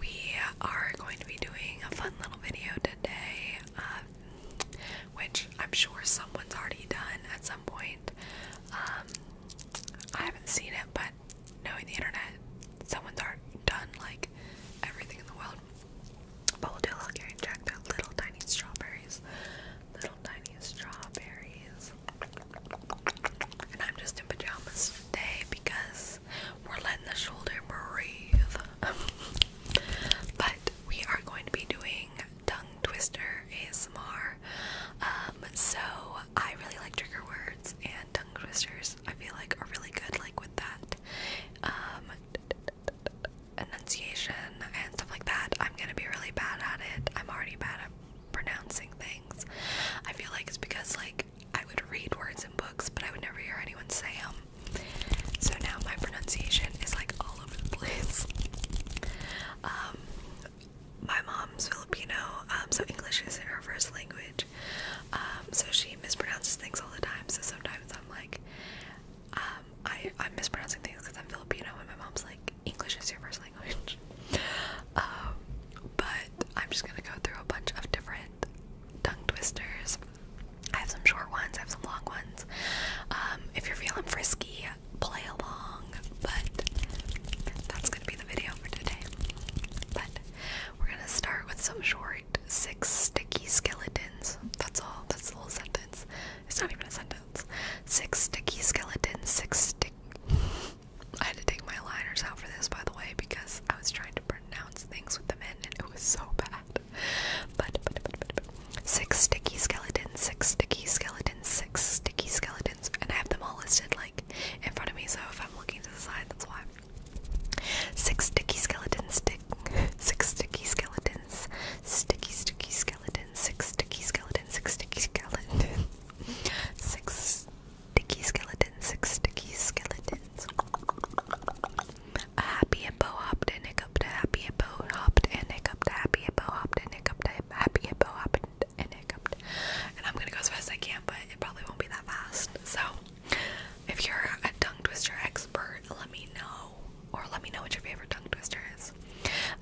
we are going to be doing a fun little video today, um, which I'm sure someone's already done at some point. Um, I haven't seen it, but knowing the internet, someone's already done like everything in the world. But we'll do a look here and check. They're little tiny strawberries. Little tiny strawberries. And I'm just in pajamas today because we're letting the shoulder breathe. but we are going to be doing tongue twister ASMR. Um, so I really like trigger words and tongue twisters. I feel like are really good, like with that um, enunciation and stuff like that. I'm gonna be really bad at it. I'm already bad at pronouncing things. I feel like it's because like I would read words in books, but I would never hear anyone say them. So now my pronunciation is like all over the place. Um, my mom's Filipino, um, so English isn't her first language. Um, so she mispronounces things all the time. So sometimes I'm like, I'm mispronouncing things because I'm Filipino, and my mom's like, English is your first language. Um, but I'm just gonna go through a bunch of different tongue twisters. I have some short ones, I have some long ones. Um, if you're feeling frisky, play along, but that's gonna be the video for today. But we're gonna start with some short six sticky skeletons. That's all, that's a little sentence. It's not even a sentence. Six sticky skeletons, six stick I had to take my liners out for this, by the way, because I was trying to pronounce things with them in, and it was so bad. But, but, but, but, but. six sticky skeletons, six sticky skeletons, six sticky skeletons, and I have them all listed like in front of me. So if I'm looking to the side, that's why. Six sticky skeletons, stick, six sticky skeletons, sticky sticky skeletons, six sticky skeletons, six sticky skeletons, six Sticky skeletons, six sticky skeletons. A happy hippo hopped and hiccuped, a happy hippo hopped and hiccuped, a happy hippo hopped and hiccuped, a happy hippo hopped and hiccuped. And I'm gonna go as fast as I can, but it probably won't be that fast. So, if you're a tongue twister expert, let me know. Or let me know what your favorite tongue twister is.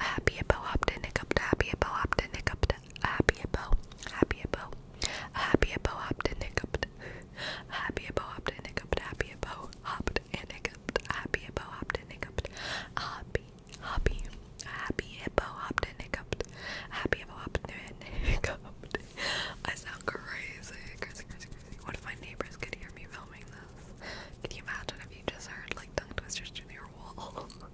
A happy hippo hopped and hiccuped, a happy hippo hopped and hiccuped, happy about, happy about, happy about, hopped and hiccuped, happy about, hopped and hiccuped, happy about, hopped and hiccuped, happy about, hopped and hiccuped, happy, happy, happy about, hopped and hiccuped, happy about, hopped and hiccuped. I sound crazy, crazy, crazy, crazy. What if my neighbors could hear me filming this? Can you imagine if you just heard like tongue twisters through your wall?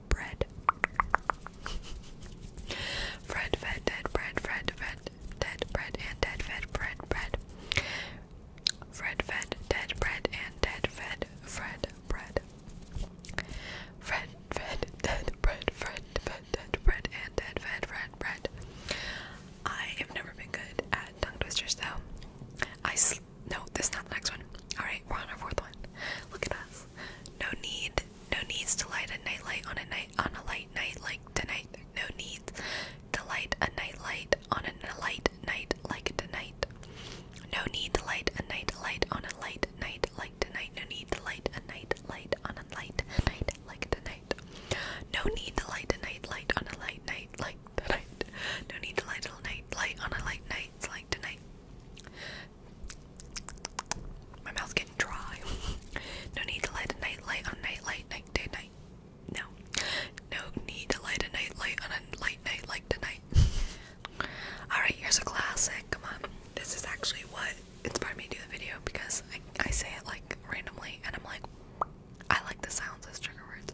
bread. Fred, fed, dead, bread, Fred, fed, dead, bread, and dead, fed, bread, bread. Fred, fed, dead, bread, and dead, fed, Fred, bread. Fred, fed, dead, bread, Fred, fed, dead, bread, and dead, fed, Fred, bread. I have never been good at tongue twisters though. I no, this is not the next one. Alright, we're on our fourth one. Look at us. No need. No needs to light a nightlight on a night on a light night like tonight. No needs to light a nightlight on a light night like tonight. No need to light a night light on a light night like tonight. No need to light a night light on a light night like tonight. No need to light a night light on a light night like tonight. No need to light a night light on a light night. It's like tonight. My mouth's getting dry. no need to light a night light on a night light night day night. No. No need to light a night light on a light night like tonight. Alright, here's a classic. Come on. This is actually what inspired me to do the video because I, I say it like randomly and I'm like, I like the sounds as trigger words.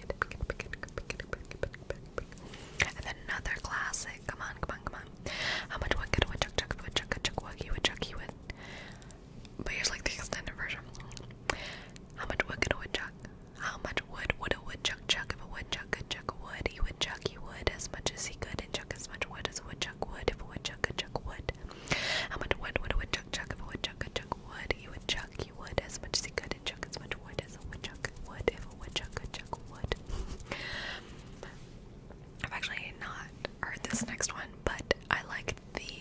pick it, pick it, pick it, pick it, pick it, pick it, pick it, pick it. And then another classic. Come on, come on, come on. How much wood could a woodchuck chuck woodchuck a chuck woogie woodchuck you would? But here's like the extended version. How much wood could a woodchuck? How much wood would a woodchuck chuck if a woodchuck could chuck wood? He would chuck he would as much as he could and chuck as much wood as a woodchuck would if a woodchuck could chuck wood. How much wood would a woodchuck chuck if a woodchuck could chuck wood? He would chuck would as much as he could and chuck as much wood as a woodchuck would if a woodchuck could chuck wood. I've actually not heard this next one, but I like the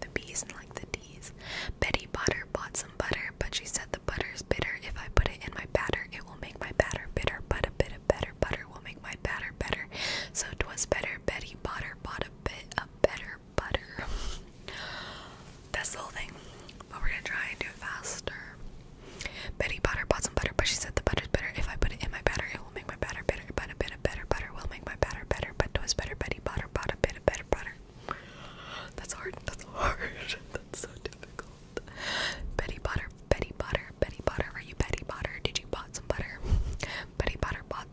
the B's and like the D's. Betty Butter bought some butter, but she said the butter is bitter. If I put it in my batter, it will make my batter bitter, but a bit of better butter will make my batter better. So 'twas better Betty Butter bought a bit of better butter. That's the whole thing. But we're gonna try and do it faster. Betty Potter bought some butter, but she said the butter's better. If I put it in my batter, it will make my batter better. But a bit of better butter will make my batter better. But it was better. Betty Potter bought a bit of better butter. That's hard. That's hard. That's so difficult. Betty Potter, Betty Potter, Betty Potter. Are you Betty Potter? Did you bought some butter? Betty Potter bought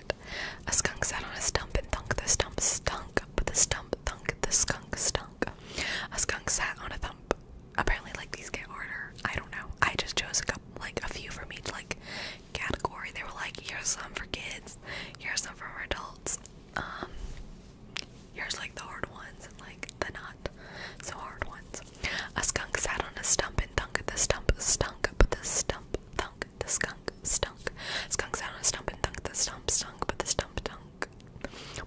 A skunk sat on a stump and thunk the stump stunk, but the stump thunk the skunk stunk. A skunk sat on a thump. Apparently, like these get harder. I don't know. I just chose a couple, like a few from each like category. They were like, here's some for kids, here's some for adults. Um, here's like the hard ones and like the not so hard ones. A skunk sat on a stump and thunk the stump stunk, but the stump thunk the skunk stunk. Skunks out on a stump and thunk. The stump stunk, but the stump dunk.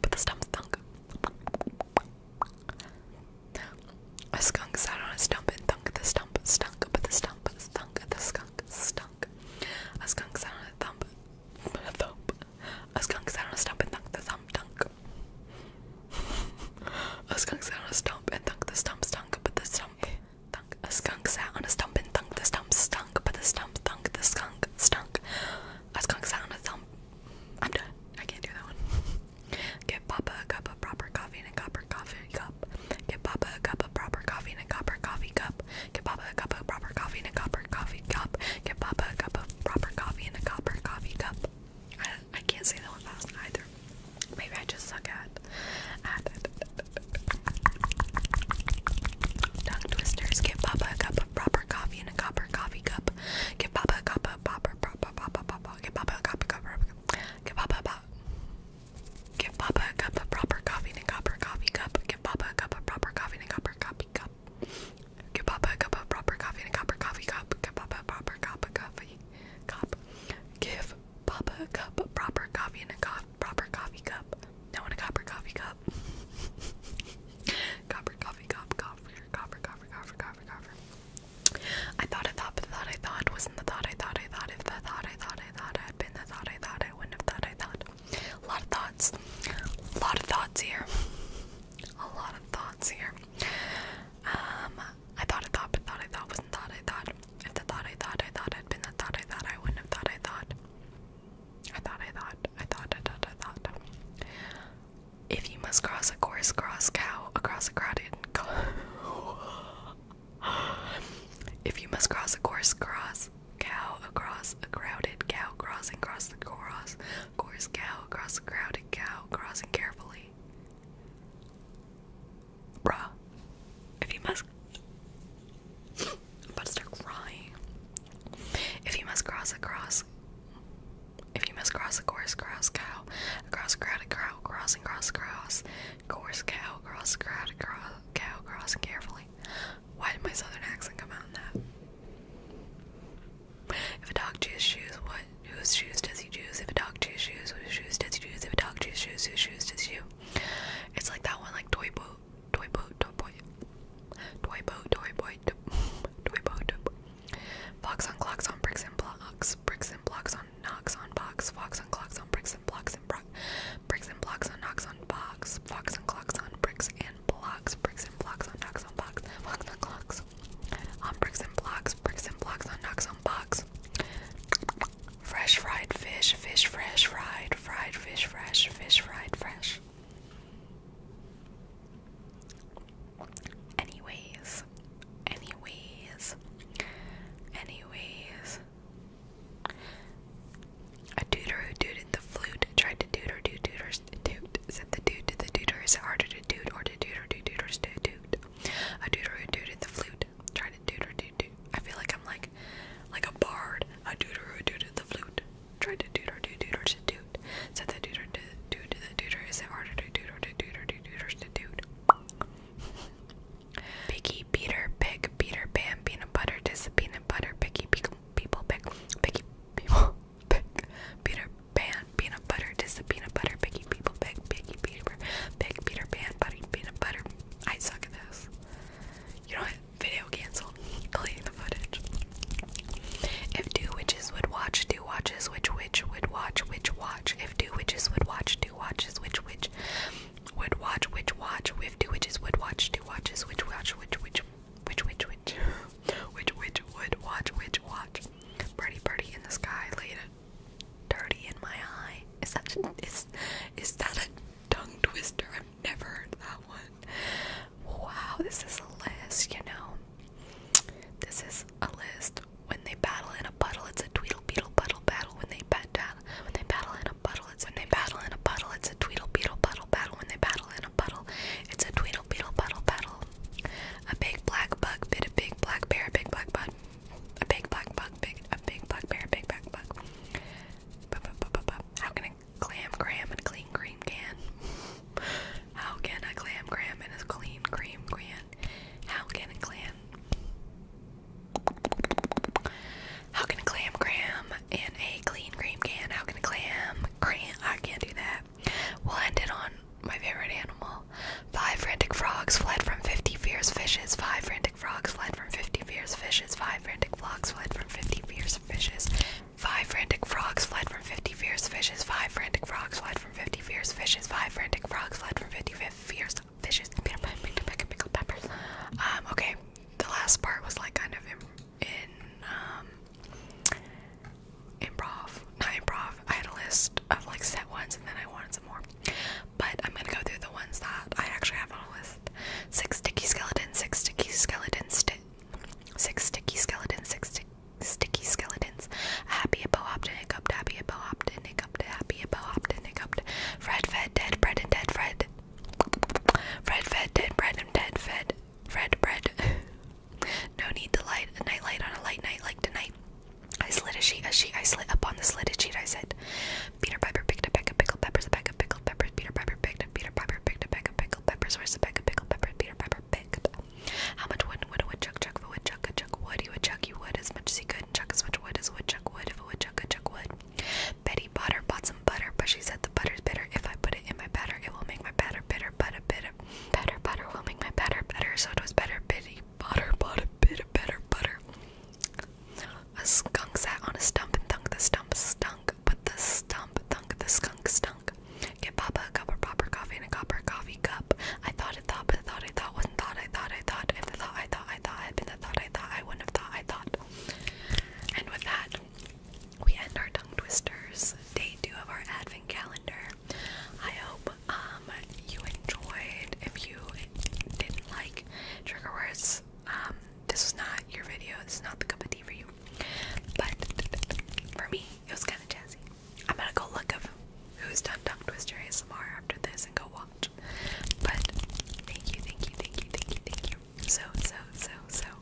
But the stump thunk. A skunk sat on a stump and thunk. The stump stunk, but the stump thunk. The skunk stunk. A skunk sat on a thump. A thump. A skunk sat on a stump and thunk. The thump dunk. a skunk sat on a stump and thunk. The stump stunk, but the stump Thunk. A skunk sat on a stump and thunk. The stump stunk, but the stump thunk. The skunk stunk. A skunk sat on a stump. I'm done. I can't do that one. Get Papa a cup of proper coffee and a copper coffee cup. Get Papa a cup of proper coffee and a copper coffee cup. Get Papa a cup of proper coffee and a copper coffee cup. Get Papa a cup of proper coffee and a copper coffee cup. I can't say that one fast either. Maybe I just suck at at tongue twisters. Give Papa a cup of proper coffee in a copper coffee cup. Give Papa a cup of proper proper papa papa. Give Papa a cup of proper. Give Papa a cup. of proper coffee in a copper coffee cup. Give Papa a cup of proper coffee in a copper coffee cup. Give Papa a cup of proper coffee in a copper coffee cup. Give Papa proper cup of coffee cup. Give Papa cup, a proper coffee in a co proper coffee cup. No, in a copper coffee cup. copper coffee cup, copper, copper, copper, copper, copper, copper. I thought I thought, but the thought I thought wasn't the thought I thought I thought. If the thought I thought I thought I had been the thought I thought I wouldn't have thought I thought. A lot of thoughts. A lot of thoughts here. A lot of thoughts here. Um, I thought I thought, but thought I thought wasn't thought I thought. If the thought I thought I thought had been the thought I thought I wouldn't have thought I thought. I thought I thought I thought I thought I thought. If you must cross a course, cross cow across a crowded. if you must cross a course, cross cow across a crowded cow crossing, across the cross course cow across a crowded cow crossing carefully. Bruh. If you must. I'm about to start crying. If you must cross a cross. If you must cross a course, cross cow. Across a crowded crow, cross and cross, cross. Course cow, cross a crowded crow, cow, crossing carefully. Why did my southern accent come out in that? If a dog chews shoes, what whose shoes does he choose? If a dog chooses shoes, whose shoes does he choose? If a dog chooses shoes, whose shoes does he choose? It's like that one, like toy boat, toy boat, toy boy, toy boat, toy boy, toy boat, toy boy. Fox on clocks on bricks and blocks, bricks and blocks on knocks on box, fox on clocks on bricks and blocks and brock, bricks and blocks on knocks on box, fox on clocks on bricks and blocks, bricks and blocks on knocks on box, fox on clocks Bricks on Bricks and Blocks, Bricks and Blocks on Knocks on Box. Fresh fried fish, fish fresh fried, fried fish fresh, fish fried fresh. Anyways, anyways, anyways. A tutor who dooted the flute tried to tutor do tutors toot. Said the dude to the tutor, is it harder to toot or to tutor do tutors to toot? A doodaroo dooted the flute. Try to dooter doo doo. I feel like I'm like like a bard. A doodaroo dooted the flute. Try to dooter doo dooter to doot. Said the dooter to doot to the dooter. Is it harder to dooter to dooter to dooters to doot? Picky Peter Pig Peter Pan Peanut Butter Tis Peanut Butter Picky Pick People Pick Picky People Pick Peter Pan peanut butter. This is peanut butter. Picky people. Big, picky Peter. Big Peter Pan. Buddy peanut butter. I suck at this. You know what? Video cancel. Delete the footage. If two witches would watch, two watches, which witch would watch, which watch. If two witches would watch, two watches, which witch would watch, which watch. If two witches would watch, two watches, which watch, which which which which which which which would watch, which watch. Pretty birdie in the sky, laid a dirty in my eye. Is that is is that a tongue twister? I've never heard that one. Wow, this is a list, you know. This is a list. When they battle in a puddle, it's a tweedle beetle puddle battle. When they bat when they battle in a puddle, it's when they battle in a puddle, it's a tweedle beetle puddle battle. When they battle in a puddle, it's a tweedle beetle puddle battle. A big black bug bit a big black bear, a big black bud. A big black bug big a big black bear, a big black bug. B -b -b -b -b How can a clam gram and a clean cream can? How can a clam gram and a clean cream can? How can a clam How can a clam gram and a clean cream can? How can a clam cram I can't do that. We'll end it on my favorite animal. Five frantic frogs fled from fifty fierce fishes. Five frantic frogs fled from fifty fierce fishes. Five frantic frogs fled from fifty fierce fishes. Five frantic frogs fled from fifty fierce fishes. Five frantic frogs fled from fifty fierce fishes. Five frantic frogs fled from fifty fierce fishes. Peanut pickled peppers. Um, okay, the last part was like kind of in um, improv, not improv. I had a list of like set ones, and then I wanted some more. But I'm gonna go through the ones that I actually have on a list: six sticky skeletons, six sticky skeletons, sti six sticky skeletons, six sti sticky skeletons. Happy Hippo Hopton, Hiccuped, Happy Hippo Hopton, Hiccuped, Happy Hippo Hopton, Hiccuped. Fred fed dead bread and dead Fred. Fred fed dead bread and dead fed red bread. no need to light a nightlight on a light night like tonight. I slid a sheet, a sheet. I slid up on the slitted sheet. I said, Peter Piper picked a peck of pickled peppers, a peck of pickled peppers. Peter Piper picked a Peter Piper picked a peck of pickled peppers. Where's the peck of pickled peppers? Peter Piper picked. How much wood would a woodchuck chuck? If a woodchuck could chuck wood, he would chuck you wood as much as he could and chuck as much wood as a woodchuck would. If a woodchuck could chuck wood. Betty Potter bought some butter, but she said the butter's bitter. If I put it in my batter, it will make my batter bitter. But a bit of Better butter will make my batter better, so it was better bitty butter, butter, bitter, better butter. A skunk sat on a stump and thunk the stump stunk, but the stump thunk the skunk stunk. Get Papa a cup or popper coffee in a copper coffee cup. I thought it thought, but the thought I thought wasn't thought I thought I thought. If the thought I thought I thought had been the thought I thought I wouldn't have thought I thought. And with that, we end our tongue twisters, day two of our advent calendar. I hope um, you enjoyed. If you didn't like trigger words, um, this was not your video. This is not the cup of tea for you. But for me, it was kind of jazzy. I'm gonna go look up who's done tongue twister ASMR after this and go watch. But thank you, thank you, thank you, thank you, thank you so, so, so, so